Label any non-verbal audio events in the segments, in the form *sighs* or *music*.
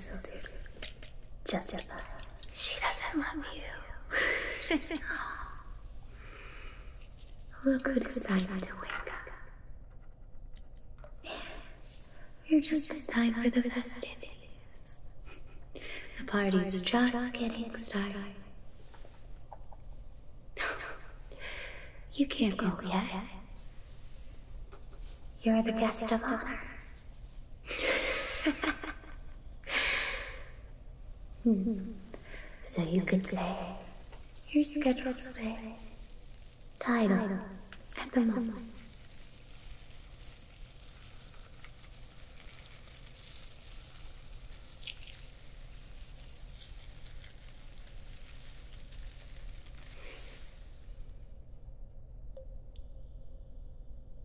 Eso Jessica, she doesn't love you. Look who decided to wake up. You're just in time for the festivities. The party's just getting started. You can't go yet. You're the guest of honor. *laughs* So you could say your schedule's away. Title at the moment.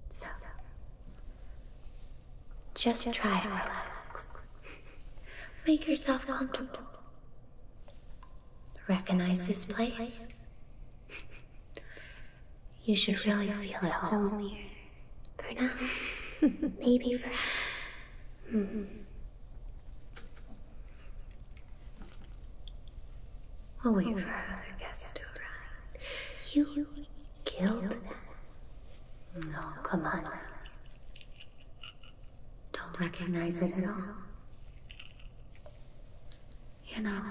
So, just try to relax. Make yourself comfortable. Recognize this place. You should really feel at home here. For *laughs* now. Maybe for. Mm -hmm. I'll wait for our other guests to arrive. You killed them. No, come on. Don't recognize it at all. You know,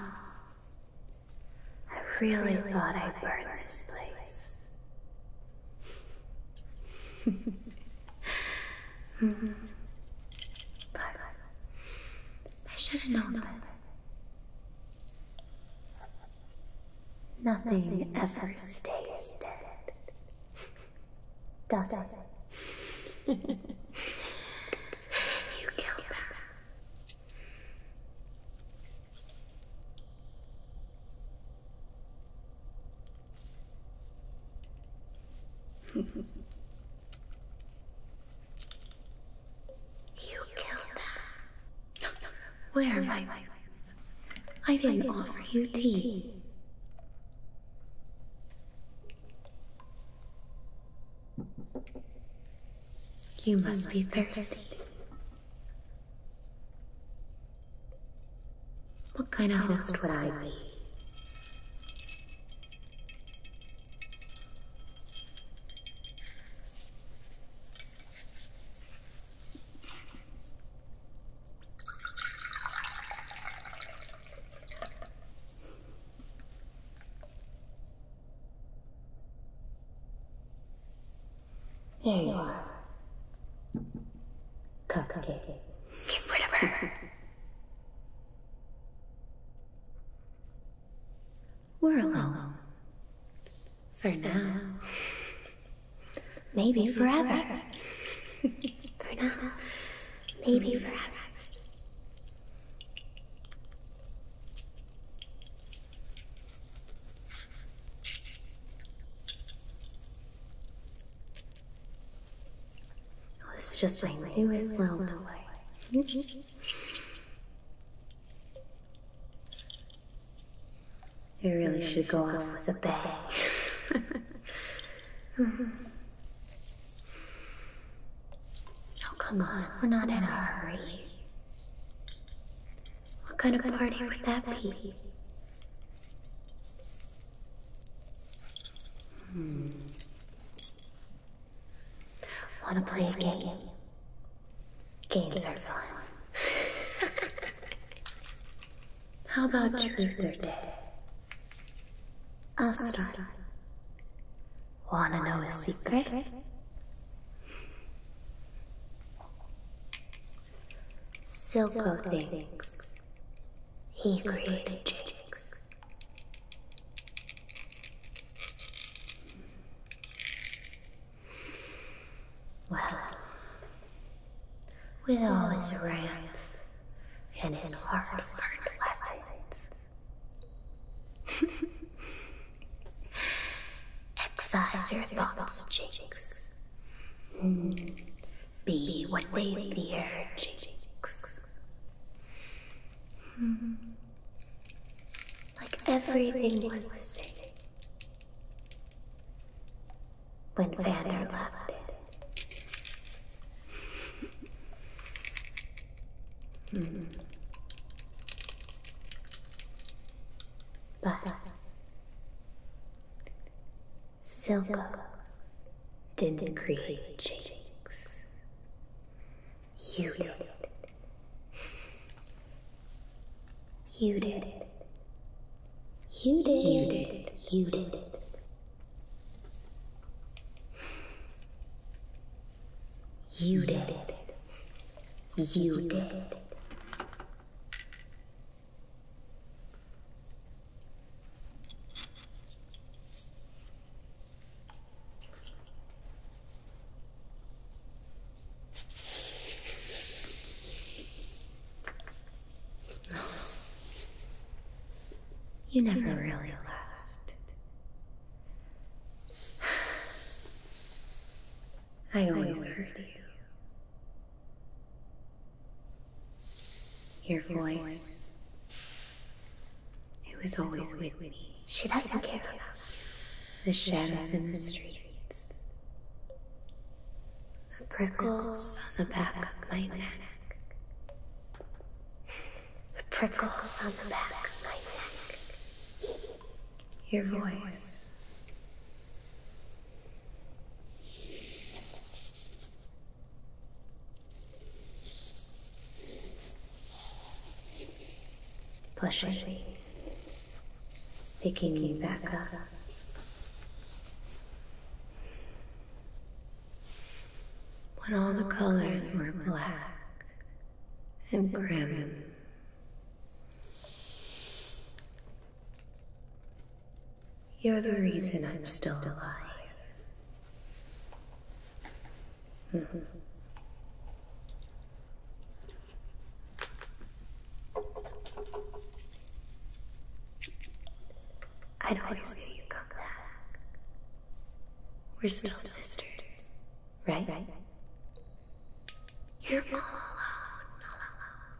I really thought I burned this place. *laughs* mm -hmm. I should have known better. Nothing, ever stays dead. Does it? *laughs* you killed that. *laughs* You killed them. Where are my rings? I didn't offer you tea. You must be thirsty. What kind of host would I be? There you are. Cupcake. Get rid of her. *laughs* We're alone. For now. Maybe, forever. *laughs* For now. Maybe forever. Oh, this is just my newest little toy. *laughs* It really should go off with a bang. *laughs* Oh, come on, we're not in a hurry. What kind of party would that be? Hmm. Wanna play a game? Games are fun. *laughs* How about truth or dare? I'll start. Wanna know a secret? Silco thinks he created Jinx. Well, with all his rants and his hard learned lessons, *laughs* exercise your thoughts, Jinx. Be what they fear, Jinx. Mm-hmm. like everything was the same. When, when Vander left it. Mm-hmm. But Silco didn't create Jinx. You did it. You did it. You did it. You did it. You did it. You did it. You did it you never really laughed. *sighs* I always heard you. Your voice. It was always with me. She doesn't care about you. the shadows in the streets, the prickles on the back of my neck, the prickles on the back of my neck. Your voice pushing, picking you back up. When all the colors were black and grim, you're the reason I'm still alive. I'd always knew you back. We're still sisters, right? Right. You're all alone, all alone.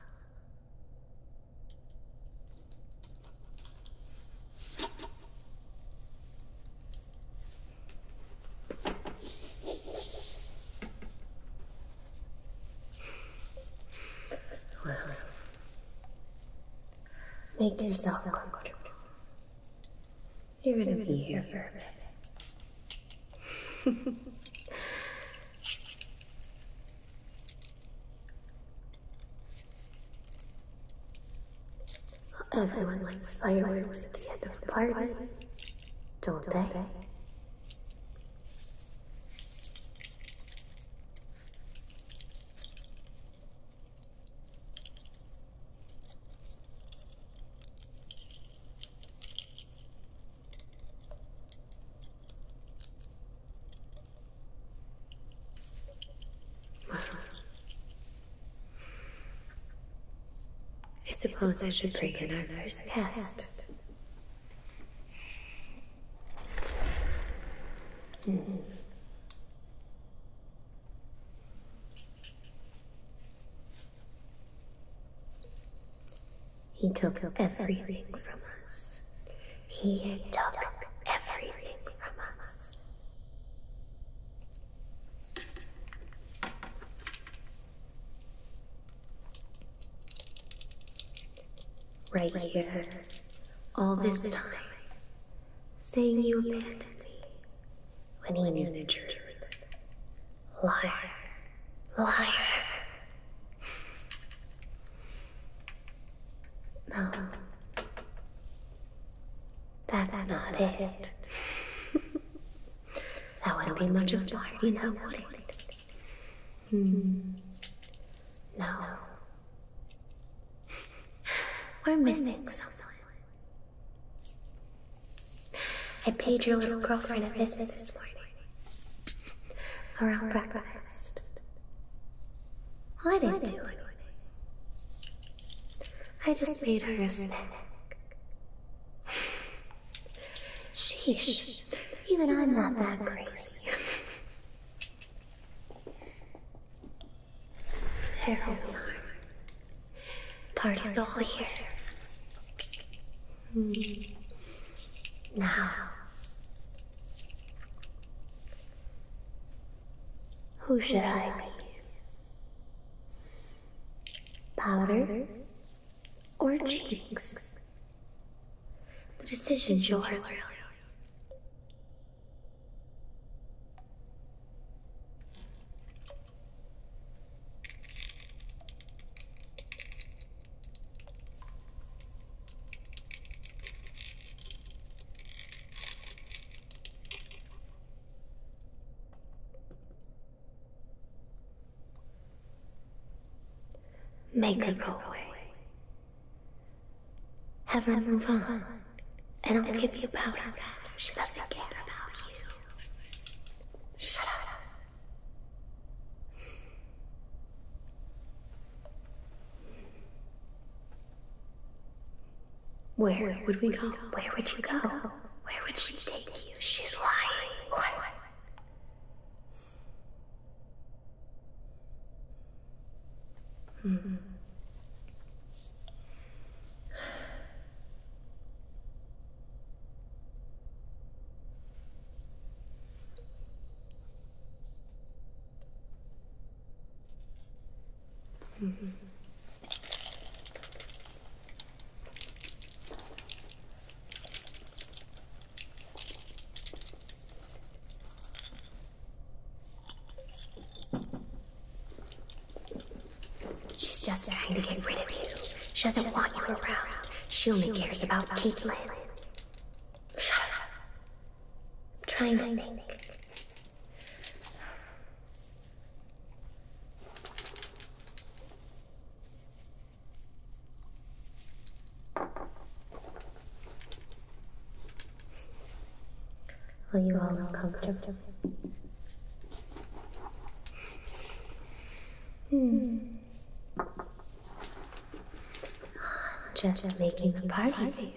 Well, make yourself comfortable. You're gonna be here for a bit. *laughs* everyone likes fireworks at the end of a party, don't they? I suppose I should bring in our first guest. He took everything from us. He took everything from us. Right here, all this time, saying you abandoned me when he knew the truth. Liar, liar. No. That's, not, it. it. *laughs* that wouldn't be much of a party now, would it? Hmm. No. *sighs* We're missing someone. *sighs* I paid your little girlfriend a visit this morning. Around breakfast. I didn't, I just, made her a snack. Sheesh, *laughs* even I'm not that crazy. *laughs* there Party's all here. Mm. Now, who should I be? Powder or Jinx? The decision's yours, really. Make, her go away. Have her move on, and I'll give you powder back. She doesn't care about you. Shut up. Where, would we, go? Where would you go? Where would she take you? She's lying. -hmm. She's just trying to get rid of you. She doesn't want you around. She only cares about Caitlin. I'm trying to think. Are you all uncomfortable? Hmm. Just, making, the party. party.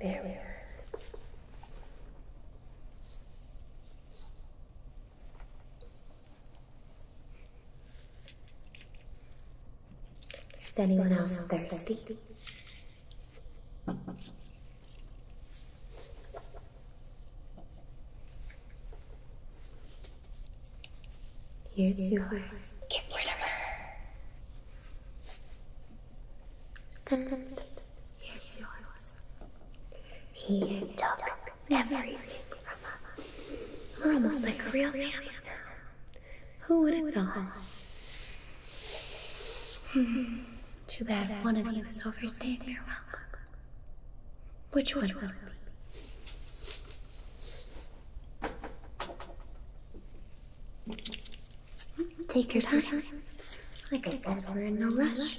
There we are. Is anyone else thirsty? Here's yours. Get rid of her. And here's yours. He took everything from us. We're almost like a real family now. Who would have thought? Hmm. Too bad one of you has overstayed their welcome. Which one will it be? Take your time. Like I said, we're in no rush.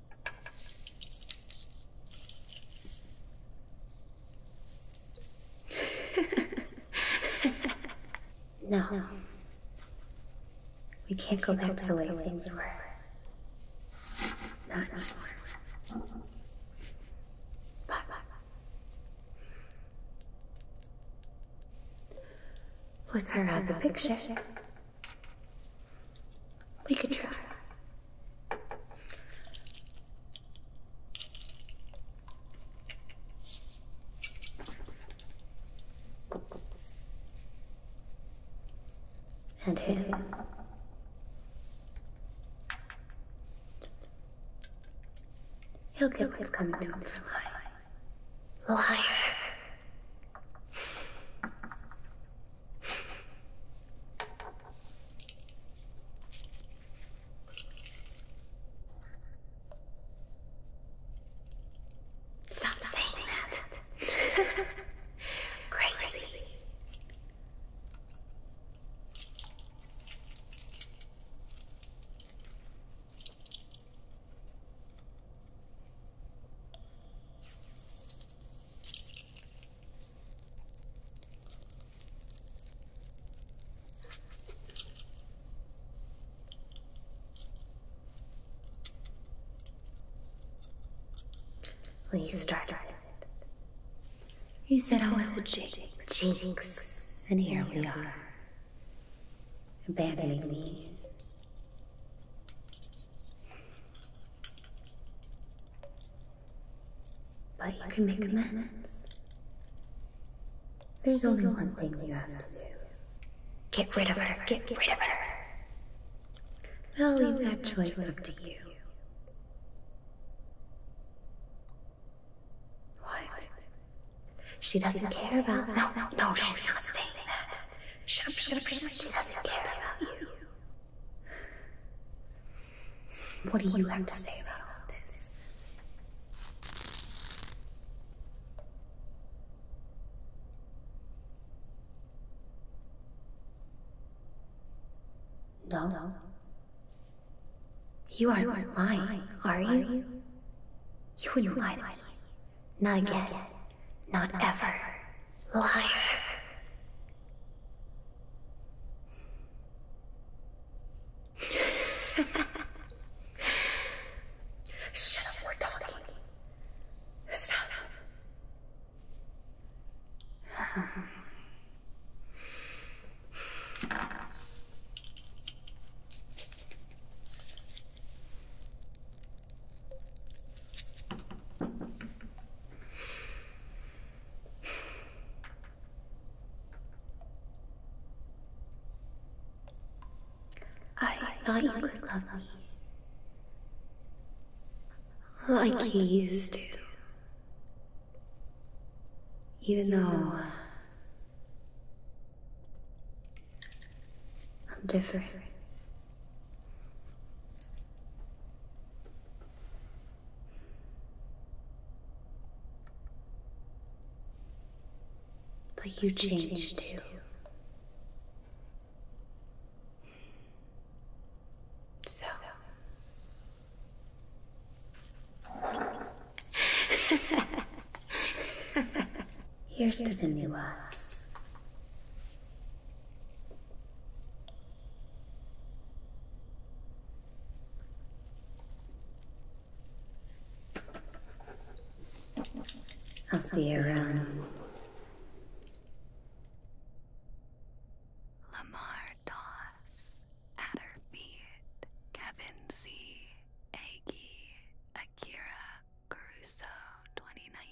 no. no. We can't go, back, to the way things, were. Not anymore. Bye, bye, bye. With her out the picture. We could try. And him. He'll get what's coming to him for lying. Liar. Stop, saying, that. *laughs* Crazy. Well, you You said I was a jinx. Jinx. And here we are. Abandoning me. But you can make amends. There's only one thing you have to do. Get rid of her. Get rid of her. I'll leave that choice up to you. What? She doesn't care about. No, no, no. She's not saying that. She doesn't care about you. What do you have to say about all of this? No. no. You are, you are lying, are you? You are lie Not again. Not ever. Liar. *laughs* Shut up, we're talking. Stop. I, thought you could love me. Like, like you used to. Even though I'm different. But you changed too. So. *laughs* Here's to the new us. I'll see you around. Lamar Doss, Adderbeat, Kevin C, Aggie, Akira, Caruso, 2019.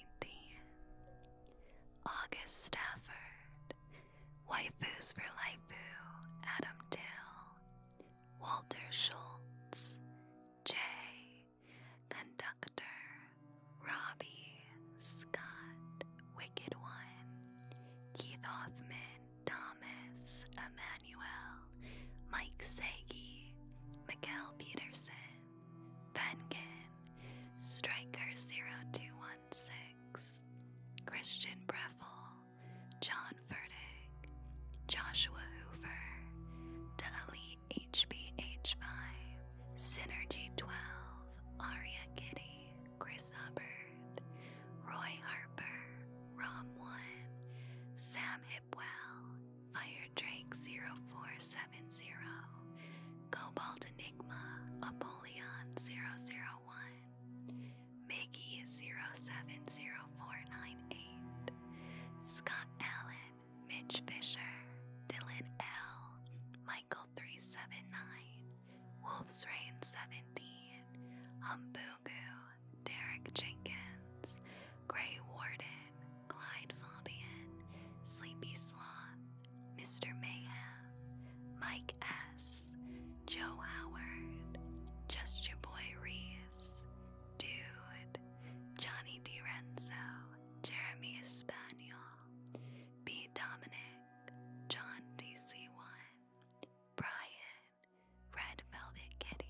August Stafford, Waifus for Laifu, Adam Dill, Walter Schultz, Jay, Conductor, Robbie, Scott, Wicked One, Keith Hoffman, Thomas, Emmanuel, Mike Segi, Mikael Peterson, Vengan, Striker0216, Christian Breffel, John Furtick, Joshua Hoover, Dali HBH5, Synergy12, Aria Kitty, Chris Hubbard, Roy Harper, Rom1, Sam Hipwell, Fire Drake 0470, Cobalt Enigma, Apollyon 001, Mickey 070498, Scott Allen, Mitch Fisher, Dylan L, Michael 379, Wolf's Reign 17, Humbugu, Derek Jenkins, Gray Warden. Clyde Fabian, Sleepy Sloth, Mr. Mayhem, Mike S., Joe Howard, Just Your Boy Reese, Dude, Johnny DiRenzo, Jeremy Espaniel, B. Dominic, John DC1, Brian, Red Velvet Kitty.